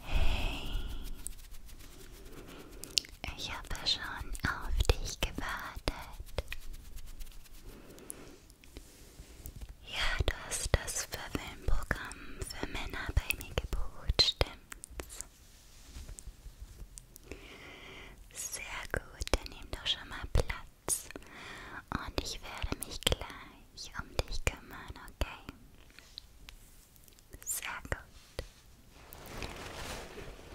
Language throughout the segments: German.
Hey, ich habe schon auf dich gewartet. Ja, du hast das Verwöhnprogramm für Männer bei mir gebucht, stimmt's? Sehr gut, dann nimm doch schon mal Platz. Und ich werde mich gleich mich um dich kümmern, okay? Sehr gut.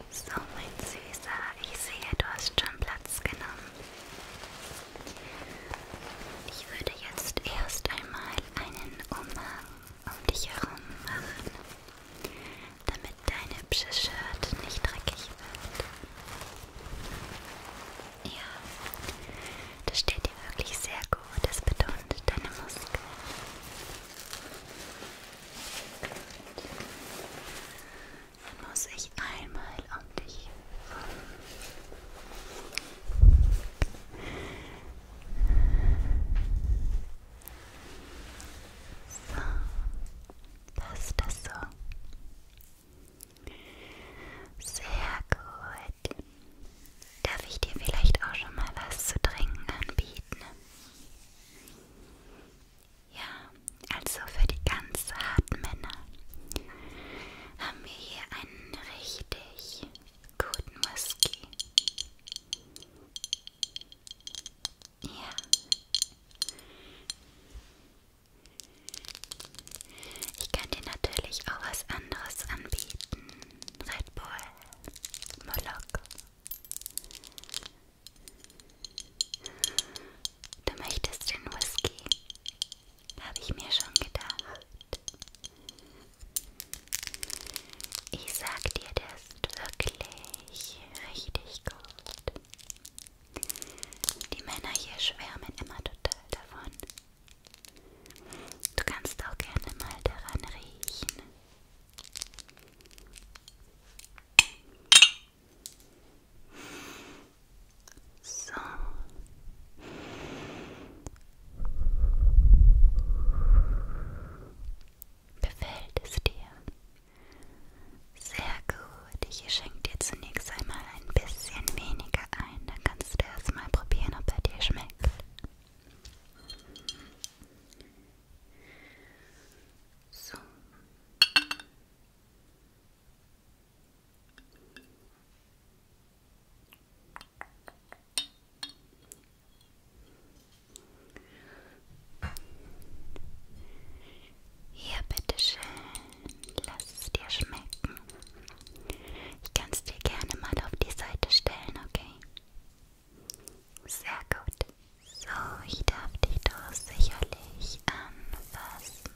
So, mein Süßer, ich sehe, du hast schon Platz genommen. Ich würde jetzt erst einmal einen Umhang um dich herum machen, damit dein hübsches Shirt nicht dreckig wird. Ja, das steht dir wirklich sehr gut. Das betont deine Muskeln. Gut. Dann muss ich einmal um dich rum. So, passt das so? Sehr gut. Darf ich dir vielleicht auch schon mal was zu trinken anbieten? Ja, also für die ganz harten Männer haben wir hier einen richtig guten Whisky. Ja. Ich kann dir natürlich auch was anderes anbieten. Red Bull, Moloch. Du möchtest den Whisky? Habe ich mir schon gedacht. Ich sag dir, der ist wirklich richtig gut. Die Männer hier schwärmen immer total davon. Du kannst auch gerne mal daran riechen. So. Befällt es dir? Sehr gut. Ich schenke dir zunächst einmal ein bisschen weniger ein, dann kannst du erstmal probieren, ob er dir schmeckt. So. Hier, bitteschön. Lass es dir schmecken. Ich kann es dir gerne mal auf die Seite stellen, okay? Sehr gut. So, ich darf dich doch sicherlich anfassen.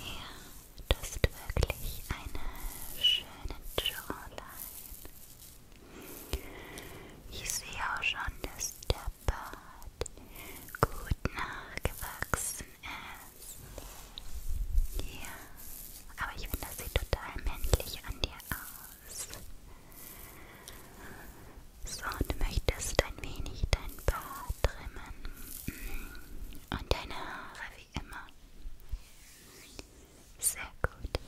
Ja, du hast wirklich eine schöne Jawline. Ich sehe auch schon, dass der Bart gut nachgewachsen hast. Ja, aber ich finde, das sieht total männlich an dir aus. So, du möchtest ein wenig dein Bart trimmen und deine Haare wie immer. Sehr gut.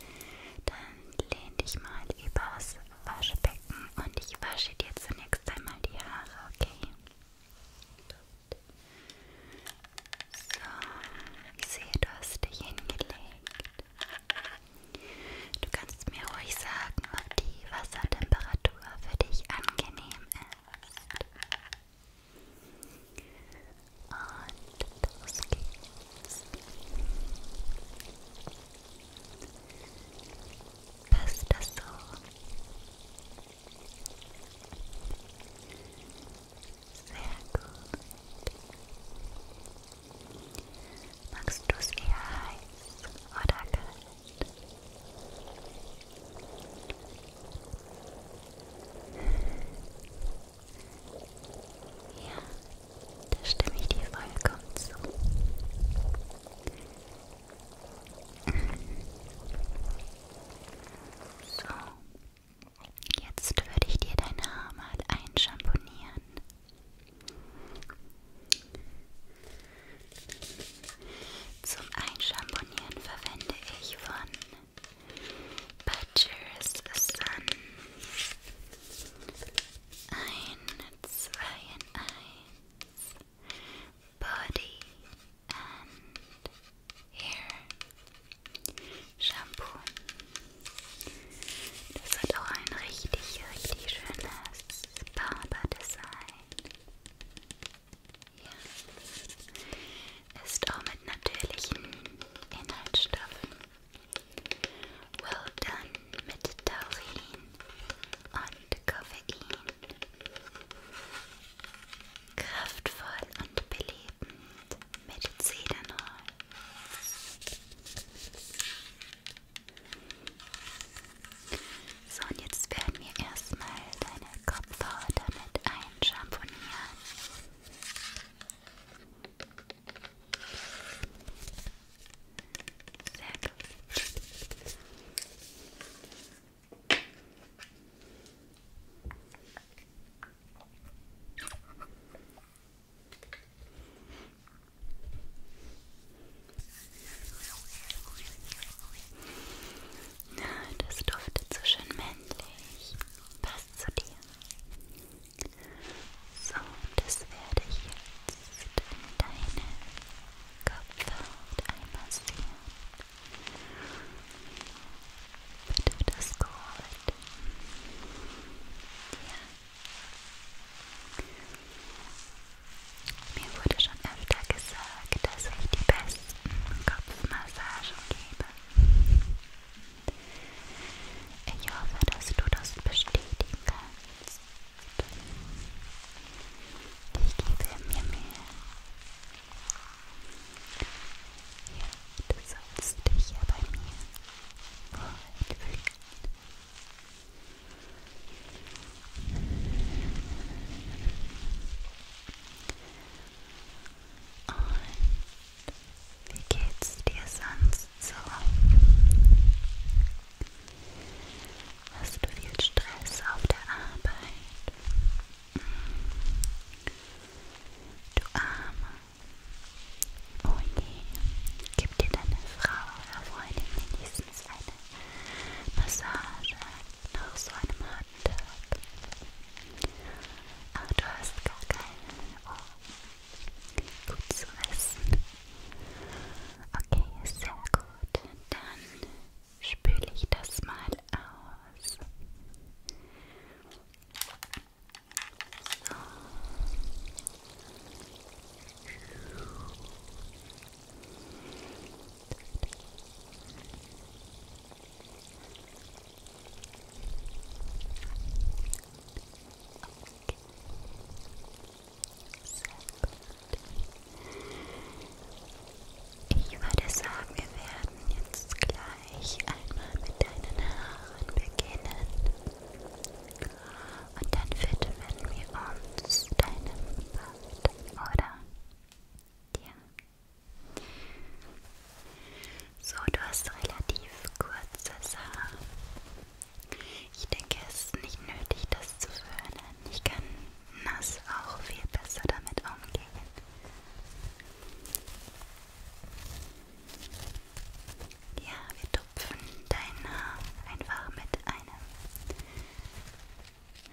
Dann lehn dich mal übers Waschbecken und ich wasche dir zunächst einmal die Haare, okay? So, ich sehe, du hast dich hingelegt. Du kannst mir ruhig sagen, ob die Wassertemperatur für dich angenehm ist. Und los geht's. Passt das so? gut. Magst du es eher heiß oder kalt? Ja, da stimme ich dir vollkommen zu. So. Jetzt würde ich dir deine Haare mal einschamponieren. Zum Einschamponieren verwende ich von Butcher's Sun ein, zwei in eins, body and hair Shampoo. Das hat auch ein richtig, richtig schönes Barber-Design. Ja. Ist auch mit natürlichen Inhaltsstoffen. Well done mit Taurin und Koffein. Kraftvoll und belebend mit Zedernholz. So, und jetzt werden wir erstmal deine Kopfhaut damit einschamponieren. Sehr gut. Das duftet so schön männlich. Passt zu dir. So, das werde ich jetzt in deine Kopfhaut einmassieren. Tut das gut. Ja. Mir wurde schon öfter gesagt, dass ich die besten Kopfmassagen gebe. Ich hoffe, dass du das bestätigen kannst. Ich gebe mir Mühe. Ja, du sollst dich ja bei mir wohlfühlen. Und wie geht's dir sonst so? Hast du viel Stress auf der Arbeit? Du Arme. Oh je, gib dir deine Frau oder Freundin wenigstens eine Massage nach so einem harten Tag. Ach, du hast gar keine Ohren. Gut zu wissen. Okay, sehr gut. Dann spüle ich das mal aus. So. Okay. Sehr gut. Ich würde sagen, wir werden jetzt gleich einmal mit deinen Haaren beginnen. Und dann widmen wir uns deinem Bart, oder? Ja. So, du hast relativ kurzes Haar. Ich denke, es ist nicht nötig, das zu föhnen. Ich kann nass auch viel besser damit umgehen. Ja, wir tupfen dein Haar einfach mit einem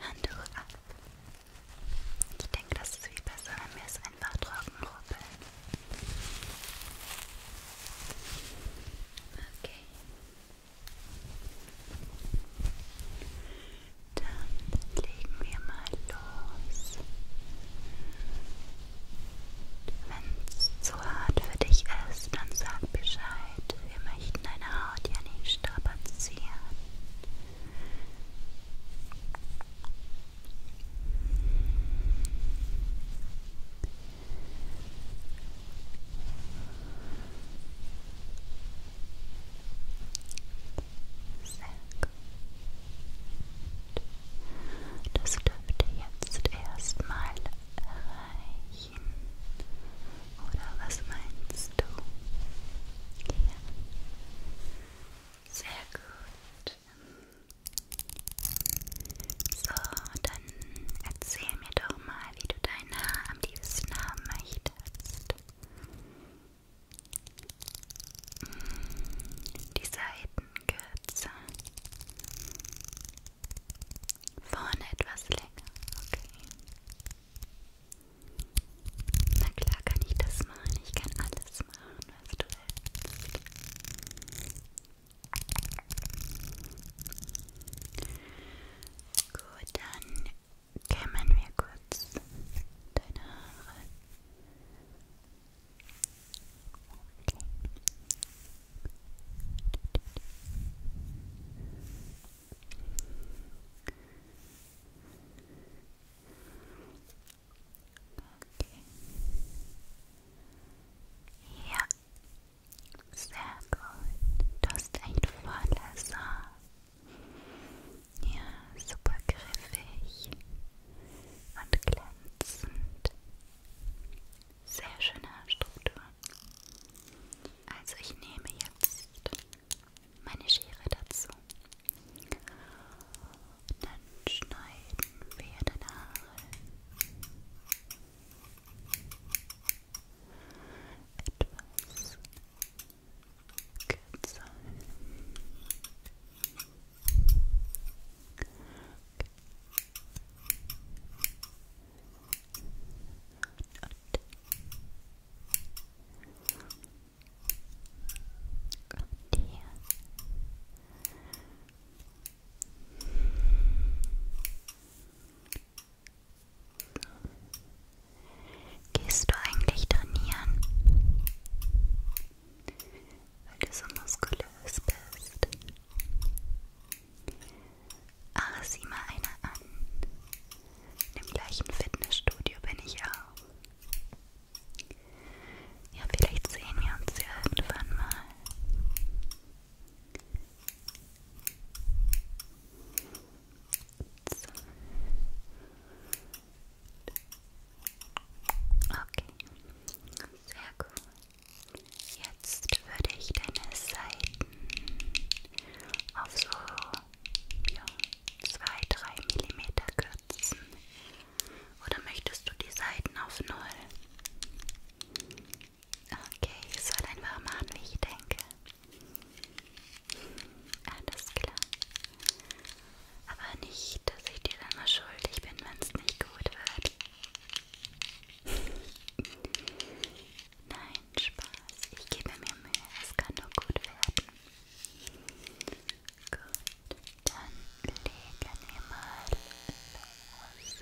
Handtuch ab. Ich denke, das ist viel besser, wenn wir es einfach trocken rubbeln. Okay. Dann legen wir mal los. Wenn es zu hart für dich ist, dann sag Bescheid. Wir möchten deine Haut ja nicht strapazieren. Sehr gut. Das dürfte jetzt erstmal reichen. Oder was meinst du? Ja. Sehr gut. So, dann erzähl mir doch mal, wie du dein Haar am liebsten haben möchtest. Hm, die Seitenkürze. Vorne etwas länger, okay. Na klar kann ich das machen. Ich kann alles machen, was du willst. Gut, dann kämmen wir kurz deine Haare. Okay. Okay. Ja, sehr gut. Du hast echt volles Haar. Ja, super griffig und glänzend. Sehr schöne Haarstruktur. Also ich nehme jetzt meine Schere dazu. Dann schneiden wir deine Haare It was good sign. Okay. Not. Gehst du eigentlich trainieren? Weil du so muskulös bist. Ach, sieh mal einer an. In dem gleichen Fitnessstudio bin ich auch. Ja, vielleicht sehen wir uns ja irgendwann mal. Okay, sehr gut. Jetzt würde ich deine Seiten auf so ja, 2-3 mm kürzen. Oder möchtest du die Seiten auf Null? Okay, ich soll einfach machen, wie ich denke. Alles klar. Aber nicht, dass ich dir dann mal schuldig bin, wenn es nicht gut wird. Nein, Spaß. Ich gebe mir Mühe. Es kann nur gut werden. Gut, dann legen wir mal los.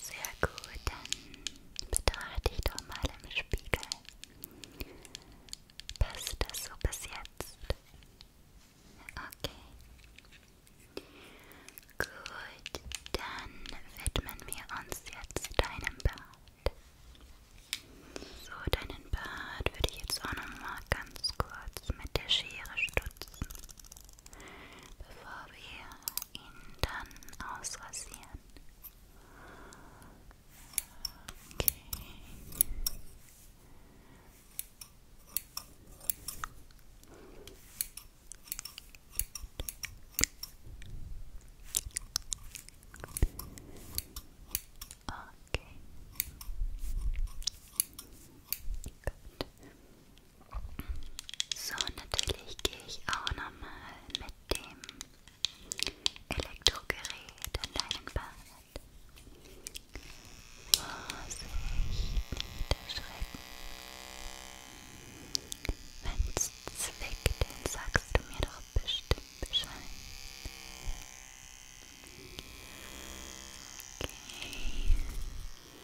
Sehr gut, dann betrachte ich doch mal im Spiegel. Passt das so bis jetzt? Okay. Gut, dann widmen wir uns jetzt deinem Bart. So, deinen Bart würde ich jetzt auch nochmal ganz kurz mit der Schere stutzen bevor wir ihn dann ausrasieren. Okay. Okay. Gut. So, natürlich gehe ich auch nochmal mit dem Elektrogerät an deinen Bart. Vorsicht, niederschrecken. Wenn's zwickt, dann sagst du mir doch bestimmt Bescheid. Okay.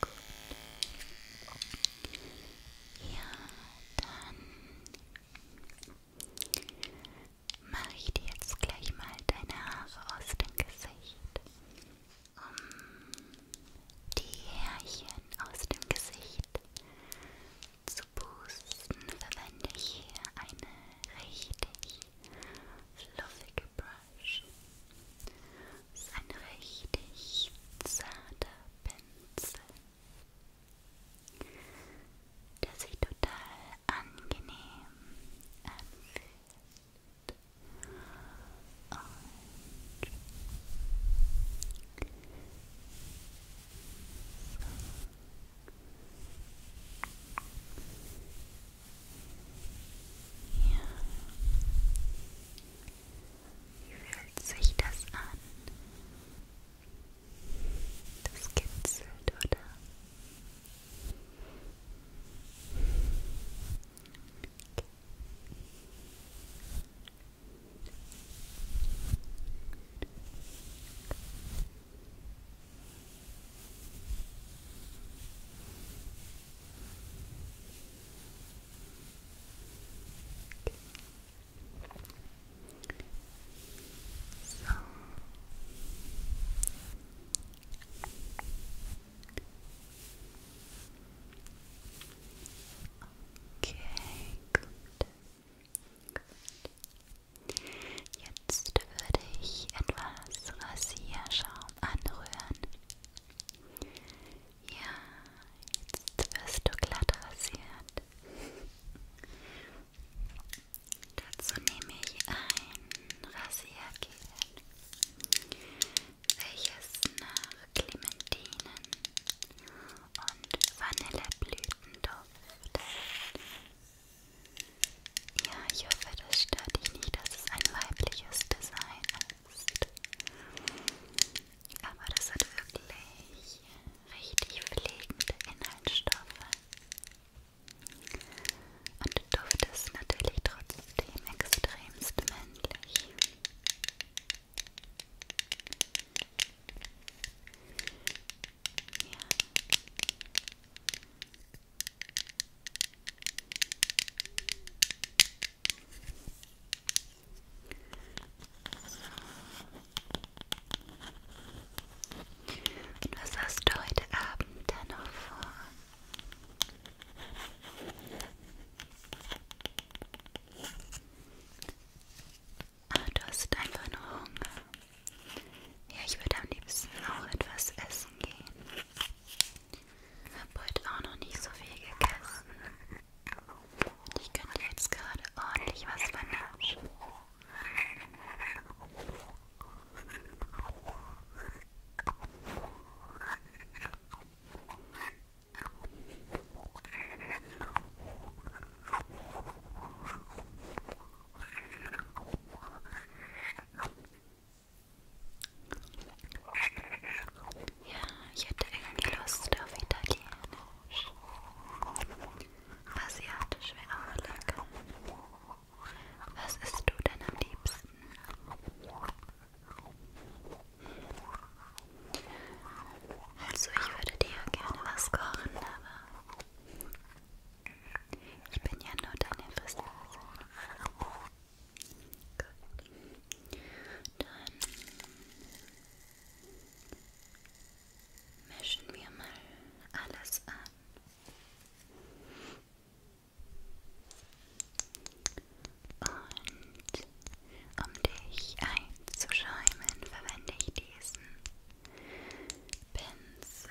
Gut. Ja, dann mache ich dir jetzt gleich mal deine Haare aus dem Gesicht, um die Härchen aus dem Gesicht zu pusten verwende ich hier eine richtig fluffige Brush. Massage. Das ist ein richtig zarter Pinsel, der sich total angenehm anfühlt. Und so. Hier. Wie fühlt sich das an? Das kitzelt, oder? Okay. So. Okay, gut. gut. Jetzt würde ich etwas Rasierschaum anrühren. Ja, jetzt wirst du glatt rasiert. Dazu nehme ich ein Rasiergel, welches nach Clementinen und Vanilleblütenduft. Ja, ich hoffe, das stört dich nicht, dass es ein weibliches Design ist. Aber das hat wirklich richtig pflegende Inhaltsstoffe. Und der Duft ist natürlich trotzdem extremst männlich. Ja. Und was hast du heute Abend dann noch vor? Ah, du hast einfach nur Hunger. Ja, ich würde am liebsten auch etwas essen gehen habe heute auch noch nicht so viel gegessen. Ich könnte jetzt gerade ordentlich was vernaschen. Ja, ich hätte irgendwie Lust auf Italienisch. Asiatisch wäre auch lecker. Was isst du denn am liebsten? Also ich würde dir gerne was kochen, aber ich bin ja nur deine Fristeuse. Gut. Dann mischen wir mal alles an. Und um dich einzuschäumen, verwende ich diesen Pinsel.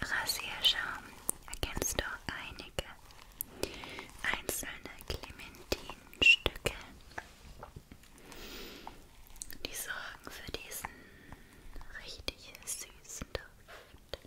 Im Rasierschaum erkennst du einige einzelne Clementinenstücke. Die sorgen für diesen richtig süßen Duft.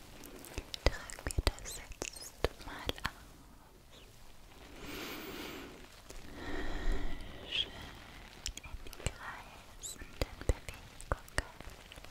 Tragen wir das jetzt mal aus. Schön in die kreisenden Bewegungen. So.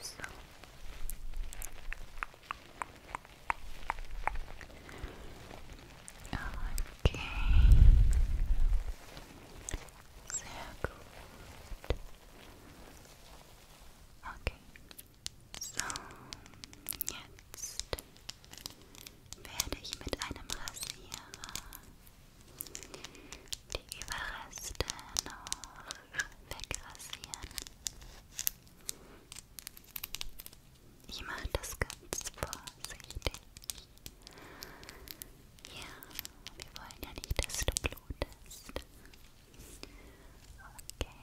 So. Okay. Sehr gut. Okay. So, jetzt werde ich mit einem Rasierer die Überreste noch wegrasieren. Ich mache das ganz vorsichtig. Ja, wir wollen ja nicht, dass du blutest. Okay. okay.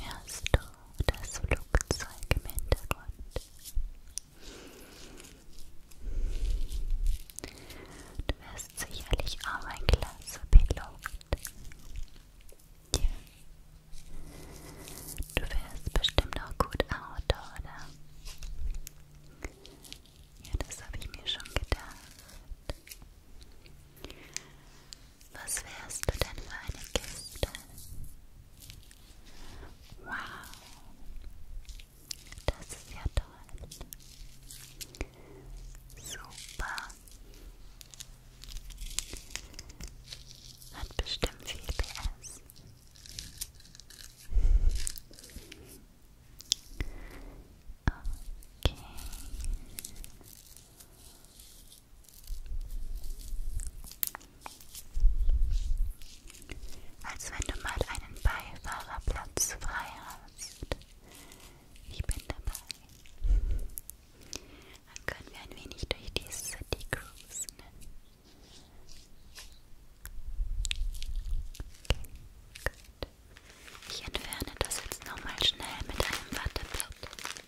Hörst du das Flugzeug im Hintergrund? Du wirst sicherlich auch ein klasse Pilot. Ja. Du wirst bestimmt auch gut Auto, oder? Ja, das habe ich mir schon gedacht. Was wärst du denn für eine Kiste? Wow, das ist ja toll. Super. Hat bestimmt viel PS. Okay. Als wenn du mal einen Beifahrerplatz frei hast. Ich bin dabei. Dann können wir ein wenig durch die City cruisen. Okay, gut. Ich entferne das jetzt nochmal schnell mit einem Watteblatt.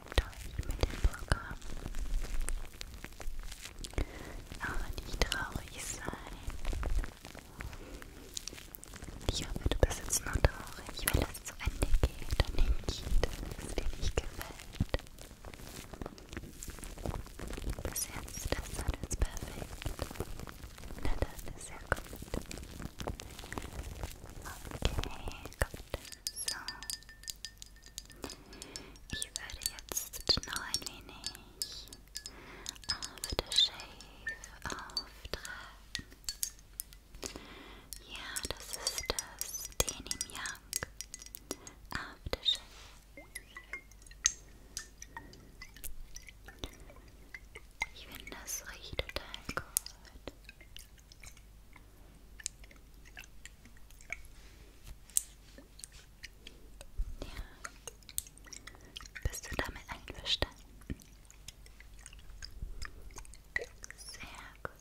helft euch mit dem Programm. Aber nicht traurig sein. Ich hoffe, du bist jetzt nur traurig, weil es zu Ende geht und nicht, dass es dir nicht gefällt. Bis jetzt ist alles perfekt. Na, das ist ja gut. Okay, gut. So. Ich werde jetzt noch ein wenig auf der Shave auftragen. Ja, das ist das Denim Young Aftershave. Ich finde, das riecht total gut. Ja. Bist du damit einverstanden? Sehr gut.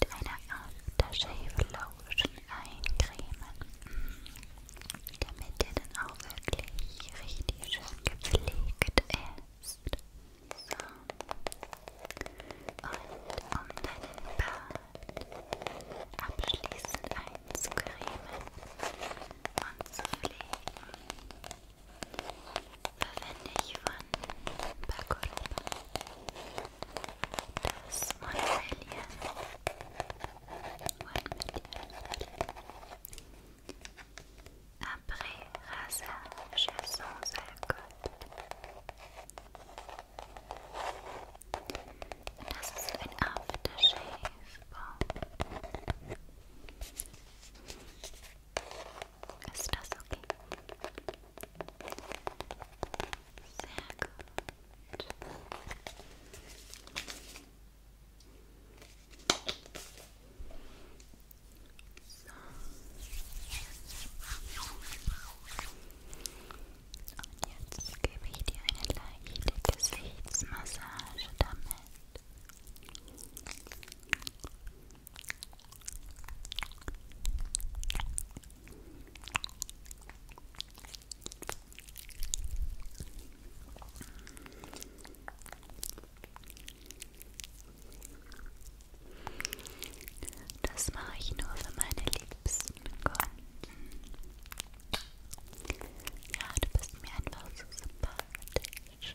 mit einer Aftershave Lotion eincremen, mhm. damit ihr dann auch wirklich richtig schön gepflegt ist. So. Und um deinen Bart abschließend einzucremen und zu pflegen, verwende ich von Bacolba das One Million. One Million. Après rasage sans alcool. Das ist ein Aftershave. Wow. Ist das okay? Sehr gut. So. Und jetzt gebe ich dir eine leichte Gesichtsmassage damit. Das mache ich nur für meine liebsten Kunden. Ja, du bist mir einfach so sympathisch.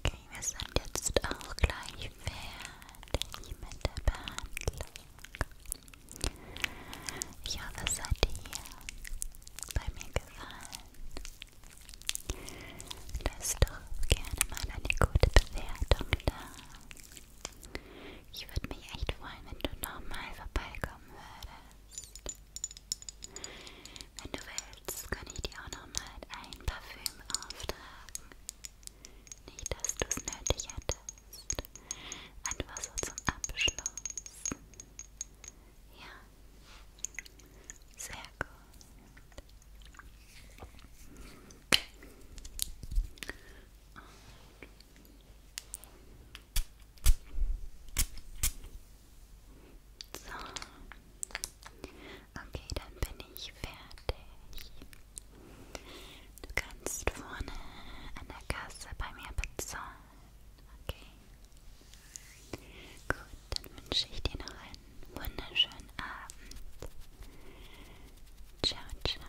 Okay, wir sind jetzt auch gleich fertig mit der Behandlung. Ich hoffe, es hat dir bei mir gefallen. Lass doch gerne mal eine gute Bewertung da. Ich würde mich echt freuen, wenn du nochmal vorbeikommen würdest. Wenn du willst, kann ich dir auch noch mal ein Parfüm auftragen. Nicht, dass du es nötig hättest. Einfach so zum Abschluss. Ja. Sehr gut. Und so. Okay, dann bin ich fertig. Du kannst vorne an der Kasse bei mir bezahlen. Okay. Gut, dann wünsche ich dir noch einen wunderschönen Abend. Ciao, ciao.